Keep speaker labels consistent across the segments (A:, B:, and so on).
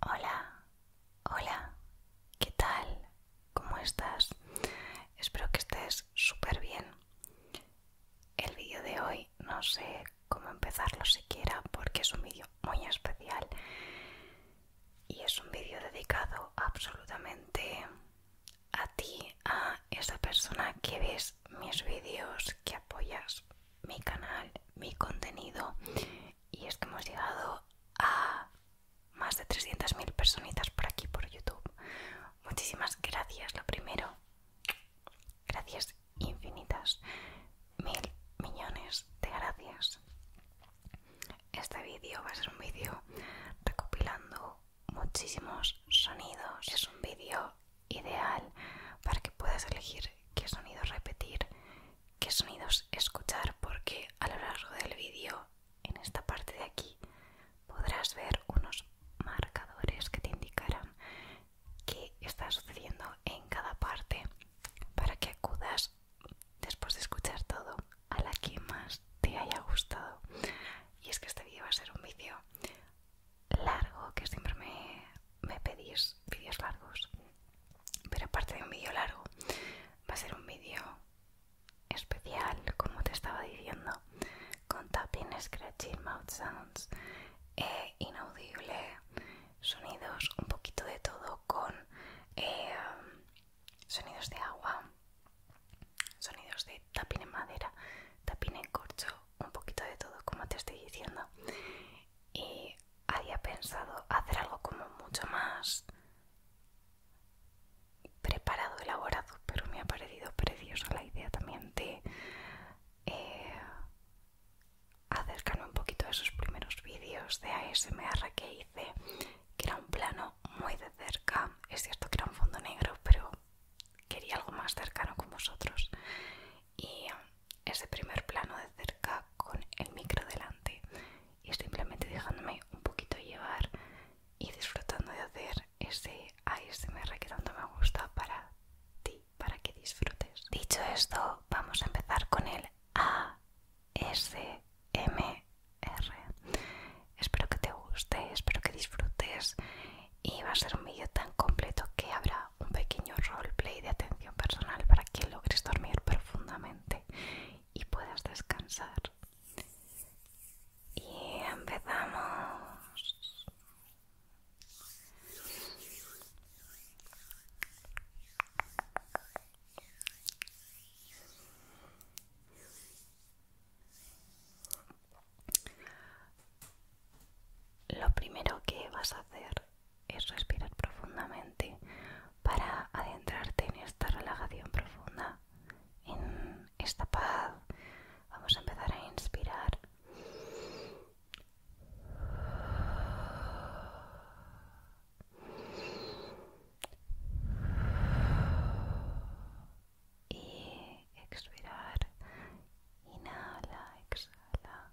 A: Hola, hola, ¿qué tal? ¿Cómo estás? Espero que estés súper bien. El vídeo de hoy no sé cómo empezarlo siquiera porque es un vídeo muy especial y es un vídeo dedicado absolutamente a ti, a esa persona que ves mis vídeos, que apoyas mi canal, mi contenido y es que hemos llegado a más de 300.000 personitas por aquí, por YouTube. Muchísimas gracias, lo primero. Gracias infinitas. Mil millones de gracias. Este vídeo va a ser un vídeo recopilando muchísimos sonidos. Es un vídeo ideal para que puedas elegir qué sonido repetir qué sonidos escuchar porque a lo largo del vídeo en esta parte de aquí podrás ver unos marcadores que te indicarán qué está sucediendo en cada parte para que acudas después de escuchar todo a la que más te haya gustado y es que este vídeo va a ser un vídeo largo que siempre me, me pedís vídeos largos pero aparte de un vídeo largo va a ser un vídeo especial como te estaba diciendo con tapping, scratching, mouth sounds e inaudible sonidos un poquito de todo con eh, sonidos de agua sonidos de tapping en madera tapping en corcho un poquito de todo como te estoy diciendo y había pensado hacer algo como mucho más preparado, elaborado, pero me ha parecido preciosa la idea también de eh, acercarme un poquito a esos primeros vídeos de ASMR que hice, que era un plano muy de cerca, es cierto que era un fondo negro, pero quería algo más cercano con vosotros y um, ese primer plano de cerca con el micro delante y simplemente dejándome un poquito llevar y disfrutando de hacer ese ASMR que tanto me gusta para ti, para que disfrutes. Dicho esto, vamos a empezar con el ASMR. Espero que te guste, espero que disfrutes y va a ser un vídeo tan completo que habrá un pequeño roleplay de atención personal para que logres dormir profundamente y puedas descansar. Y empezamos. Lo primero que vas a hacer es respirar profundamente para adentrarte en esta relajación profunda, en esta paz. Vamos a empezar a inspirar. Y expirar. Inhala, exhala.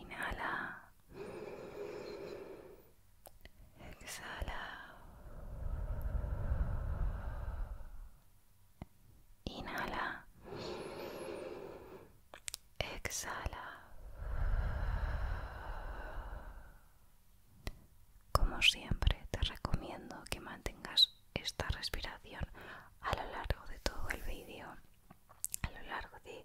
A: Inhala. Exhala. Inhala. Exhala. Como siempre, te recomiendo que mantengas esta respiración a lo largo de todo el vídeo, a lo largo de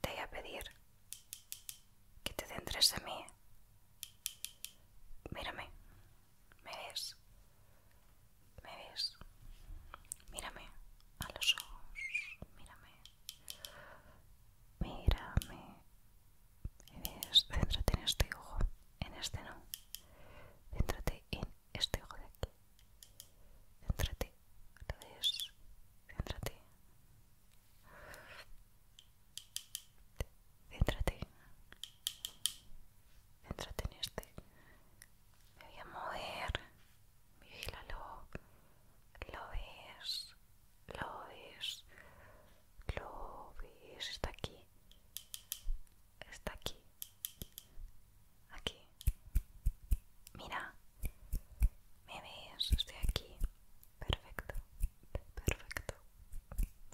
A: te voy a pedir que te centres en mí. Mírame, me ves, me ves. Mírame a los ojos, mírame, mírame. Me ves, céntrate en este ojo, en este no. Céntrate en este ojo de aquí. Céntrate, ¿lo ves? Céntrate. Céntrate. Céntrate en este. Me voy a mover. Vigílalo. Lo ves. Lo ves. Lo ves. Está aquí. Está aquí aquí mira me ves estoy aquí perfecto perfecto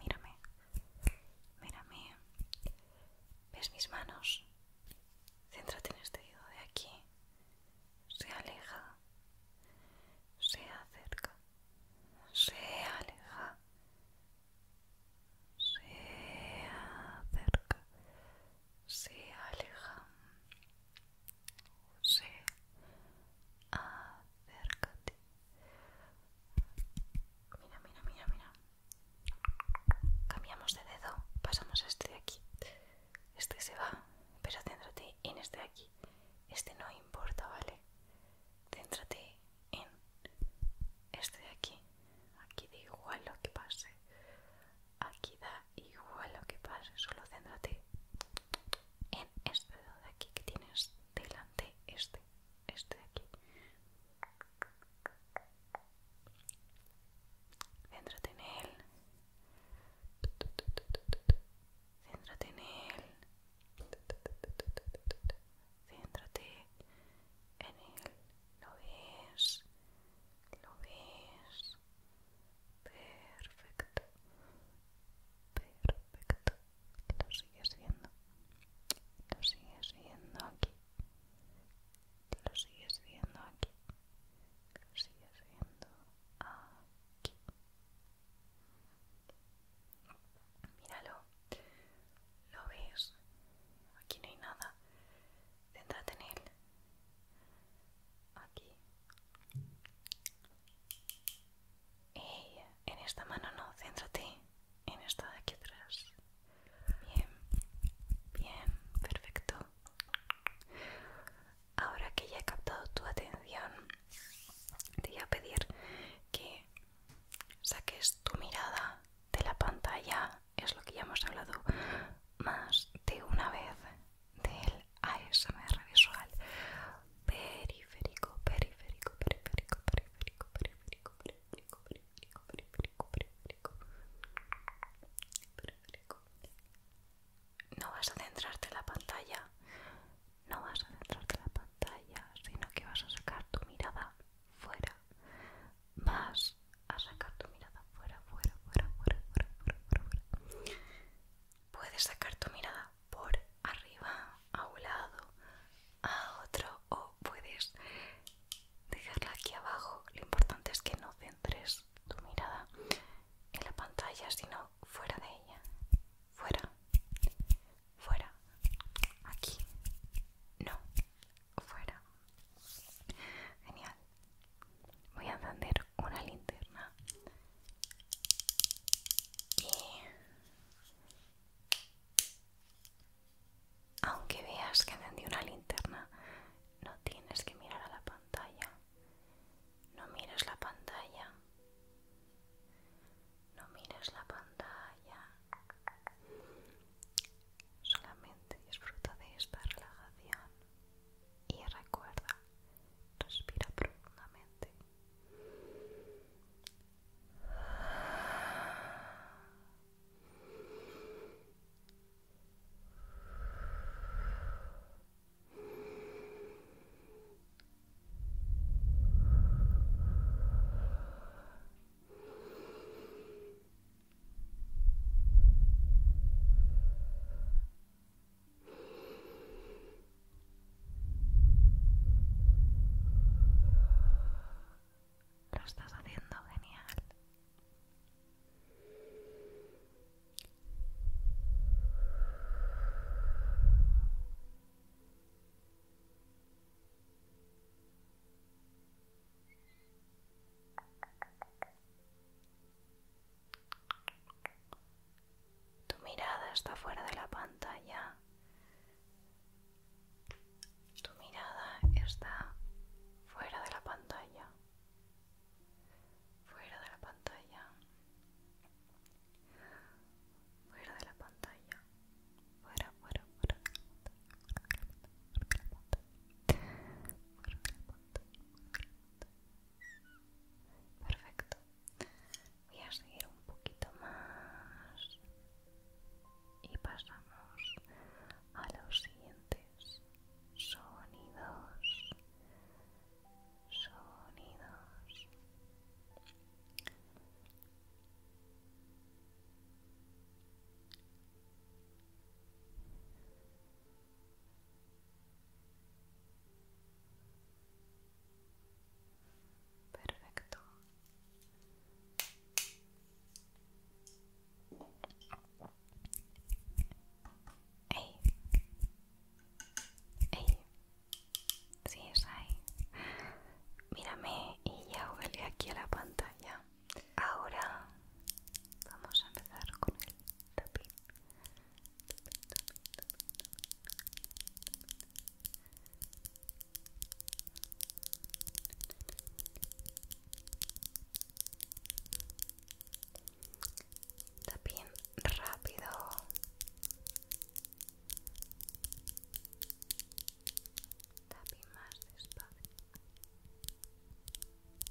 A: mírame mírame ves mis manos céntrate en este dedo de aquí se aleja se acerca se aleja se acerca se aleja, se acércate. Mira, mira, mira, mira. Cambiamos de dedo, pasamos a este de aquí. Este se va, pero céntrate en este de aquí. Este no importa, ¿vale? Céntrate en este de aquí. Aquí da igual lo que pase aquí da igual lo que pase, solo céntrate en este de aquí que tienes delante, este, este de aquí. Céntrate en él. Céntrate en él. Céntrate en él. ¿Lo ves? lo ves perfecto perfecto lo sigues viendo lo sigues viendo aquí lo sigues viendo aquí lo sigues viendo aquí míralo lo ves aquí no hay nada céntrate en él Aquí. Y en esta mano no, céntrate en esta de aquí atrás. Bien, bien, perfecto. Ahora que ya he captado tu atención, te voy a pedir que saques tu mirada de la pantalla es lo que ya hemos hablado más de una vez del ASMR visual periférico, periférico, periférico, periférico, periférico, periférico, periférico, periférico, periférico, periférico. No vas a centrarte en la pantalla, no vas a centrarte en la pantalla, sino que vas a sacar tu mirada fuera vas a sacar tu mirada fuera, fuera, fuera, fuera, fuera, fuera, Puedes sacar tu mirada por arriba, a un lado, a otro, o puedes dejarla aquí abajo. Lo importante es que no centres tu mirada en la pantalla, sino fuera de ella. Fuera, fuera, aquí, no, fuera. Genial voy a encender una linterna y aunque veas que encendí una linterna no tienes que mirar a la pantalla no mires la pantalla no mires la pantalla Solamente disfruta de esta relajación y recuerda, respira profundamente. Lo estás haciendo genial. Tu mirada está fuera de la pantalla. Tu mirada está fuera de la pantalla. Fuera de la pantalla. Fuera de la pantalla. Fuera, fuera, fuera. Perfecto. Voy a seguir un poquito más y pasamos a los siguientes sonidos. Sonidos. Sonidos. Perfecto. Ey. Ey. Sí, es ahí. Mírame y ya huele aquí a la pantalla ahora vamos a empezar con el tapín Tapín rápido. Tapín más despacio.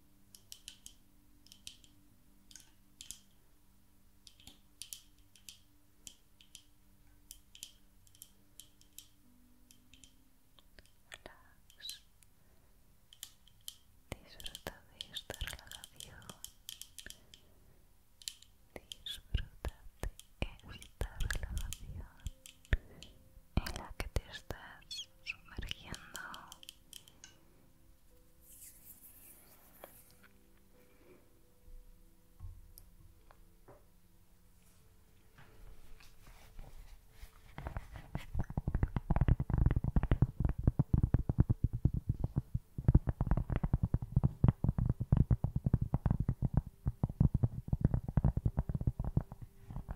A: Disfruta de esta relajación. Disfruta de esta relajación en la que te estás sumergiendo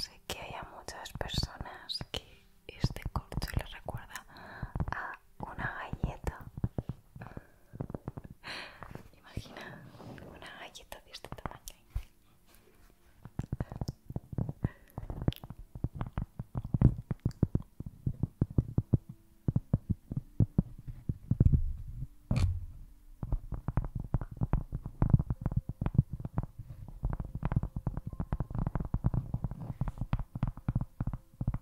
A: Sé que hay muchas personas que este corte les recuerda a una galleta. Imagina una galleta de este tamaño.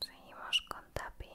A: Seguimos con tapping.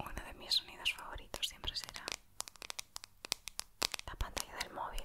A: Uno de mis sonidos favoritos siempre será la pantalla del móvil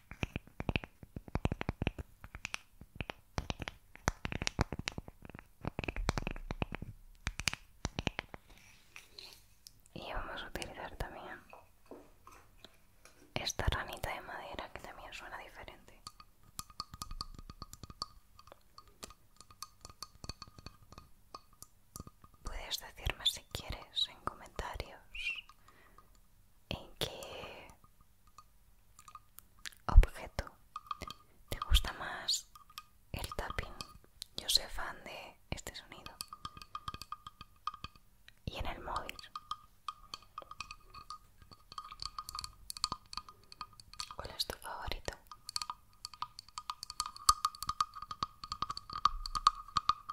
A: Y vamos a utilizar también esta ranita de madera que también suena diferente. Puedes decirme si quieres en comentarios en qué objeto te gusta más el tapping. Yo soy fan de este sonido. Y en el móvil. ¿Cuál es tu favorito?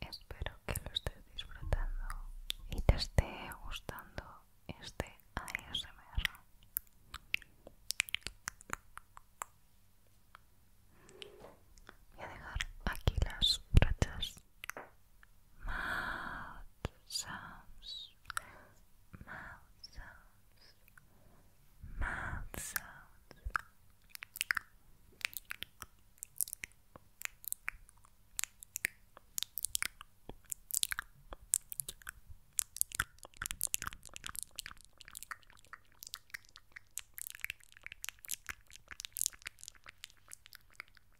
A: Espero que lo estés disfrutando y te esté gustando este ASMR. Voy a dejar aquí las rachas mouth sounds, mouth sounds, mouth sounds.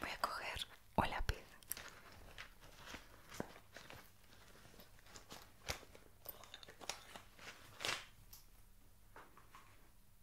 A: Voy a coger un lápiz.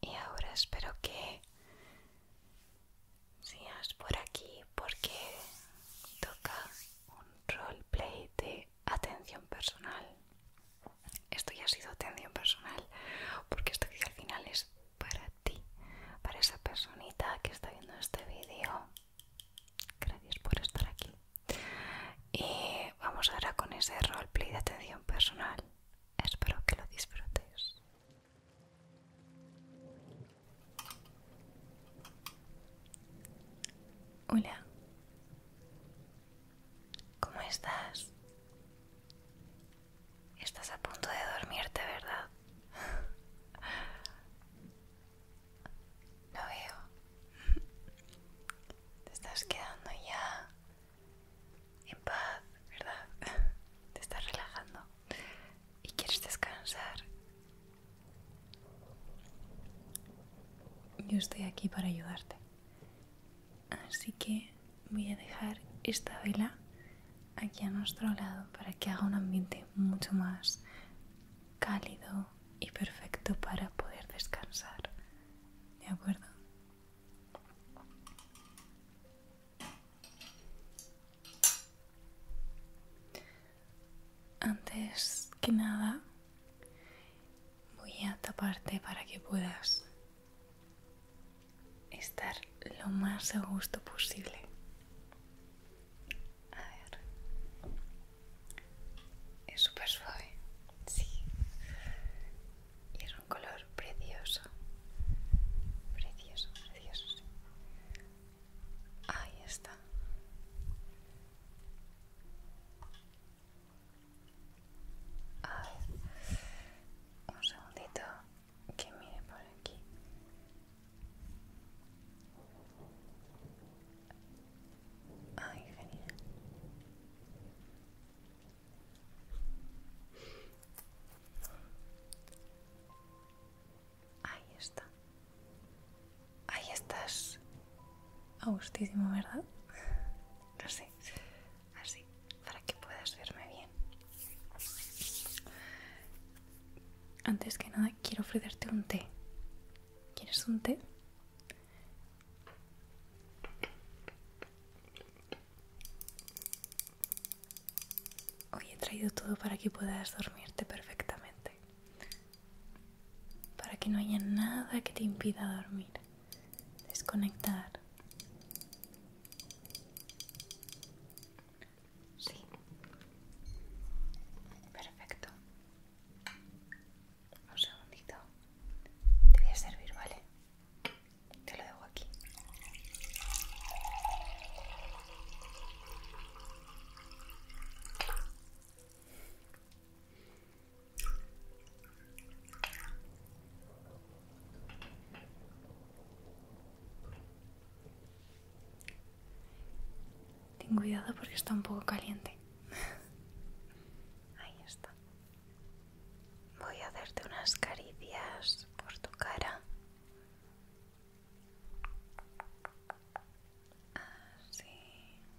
A: y ahora espero que sigas por aquí porque toca un roleplay de atención personal. Esto ya ha sido atención personal porque esto que al final es para ti, para esa personita que está viendo este vídeo. Gracias por estar aquí. Y vamos ahora con ese roleplay de atención personal. Espero que lo disfrutes. Hola, ¿cómo estás? Estás a punto de dormirte, ¿verdad? Lo veo. Te estás quedando ya en paz, ¿verdad? Te estás relajando y quieres descansar. Yo estoy aquí para ayudarte. Así que voy a dejar esta vela aquí a nuestro lado para que haga un ambiente mucho más cálido y perfecto para poder descansar. ¿De acuerdo? Antes que nada, voy a taparte para que puedas estar lo más a gusto posible. A ver. Es súper suave. Sí y es un color precioso precioso precioso ahí está a ver un segundito que mire por aquí Ay, genial. Ahí está. Ahí estás. augustísimo, ¿verdad? Así, sé. Así, para que puedas verme bien. Antes que nada, quiero ofrecerte un té. ¿Quieres un té? Hoy he traído todo para que puedas dormirte perfectamente. Para que no haya nada que te impida dormir. Desconectar. Sí. Perfecto. Un segundito. Te voy a servir, ¿vale? Te lo dejo aquí. Ten cuidado porque está un poco caliente. Ahí está. Voy a darte unas caricias por tu cara. Así. Ah,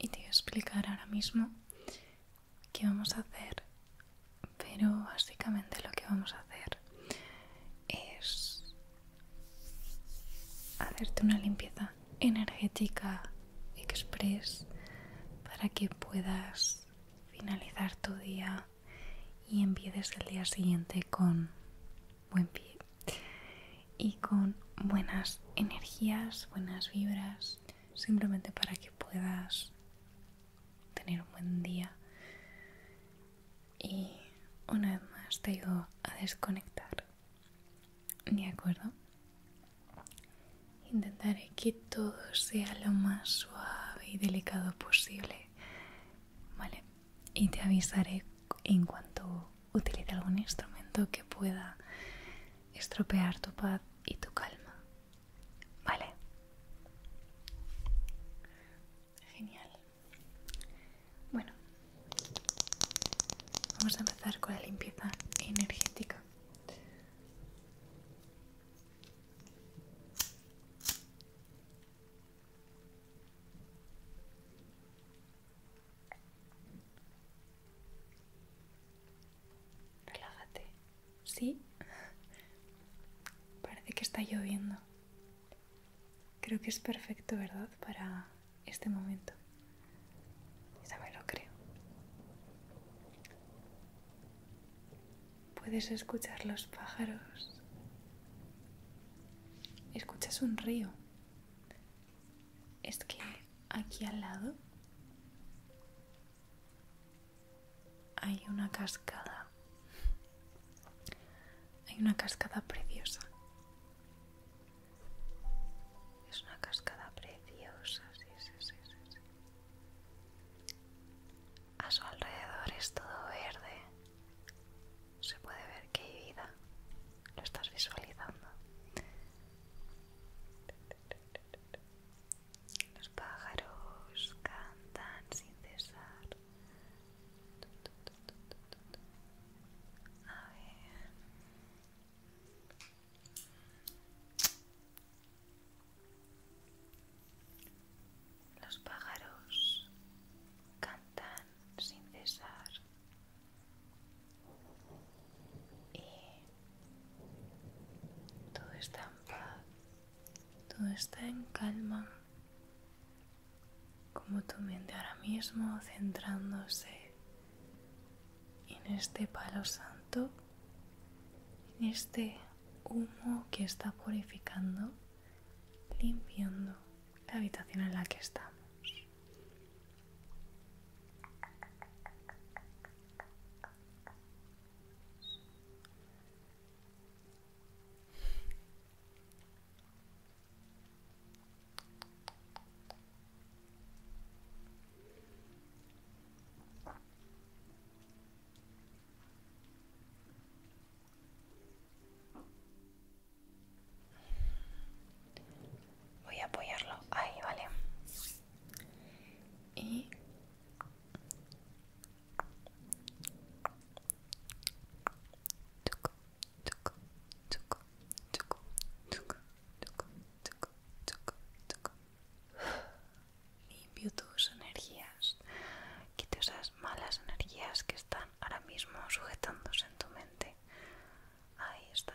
A: y te voy a explicar ahora mismo qué vamos a hacer, pero básicamente lo que vamos a hacer es hacerte una limpieza energética express para que puedas finalizar tu día y empieces el día siguiente con buen pie y con buenas energías, buenas vibras, simplemente para que puedas tener un buen día. Y una vez más te digo a desconectar. ¿De acuerdo? Intentaré que todo sea lo más suave y delicado posible, ¿vale? Y te avisaré en cuanto utilice algún instrumento que pueda estropear tu paz y tu calma, ¿vale? Genial. Bueno, vamos a empezar con la limpieza energética. Relájate. Sí. Parece que está lloviendo. Creo que es perfecto, ¿verdad? Para este momento. Ya me lo creo. Puedes escuchar los pájaros. Escuchas un río. Es que aquí al lado hay una cascada. Hay una cascada preciosa. Es una cascada preciosa, A su alrededor es todo verde. Se puede ver que hay vida. Lo estás visualizando. Los pájaros cantan sin cesar. A ver. Los pájaros cantan sin cesar y todo está en paz, todo está en calma, como tu mente ahora mismo centrándose en este palo santo, en este humo que está purificando, limpiando la habitación en la que estamos. Voy a apoyarlo ahí, vale. Y Choco, choco, choco Choco, Limpio tus energías, quite esas malas energías que están ahora mismo sujetándose en tu mente. Ahí está.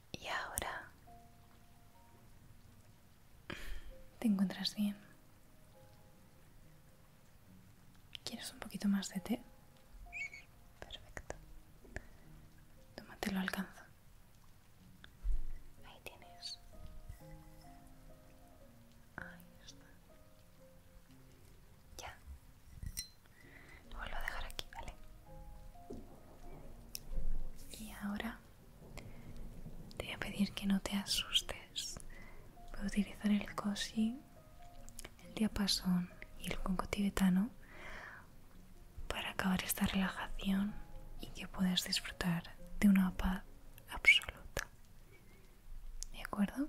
A: Y ahora... ¿Te encuentras bien? ¿Quieres un poquito más de té? Perfecto. tómate lo alcanzo. Ahí tienes. Ahí está. Ya. Lo vuelvo a dejar aquí, ¿vale? Y ahora te voy a pedir que no te asustes. Voy a utilizar el cosi, el diapasón y el conco tibetano para acabar esta relajación y que puedas disfrutar de una paz absoluta. ¿De acuerdo?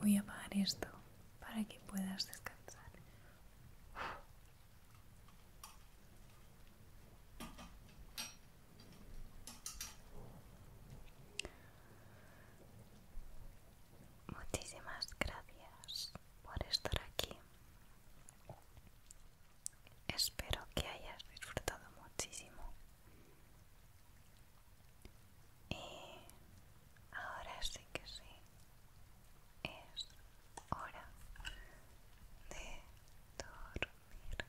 A: Voy a apagar esto para que puedas descansar. Muchísimas gracias por estar aquí. Espero que hayas disfrutado muchísimo. Y ahora sí que sí, es hora de dormir.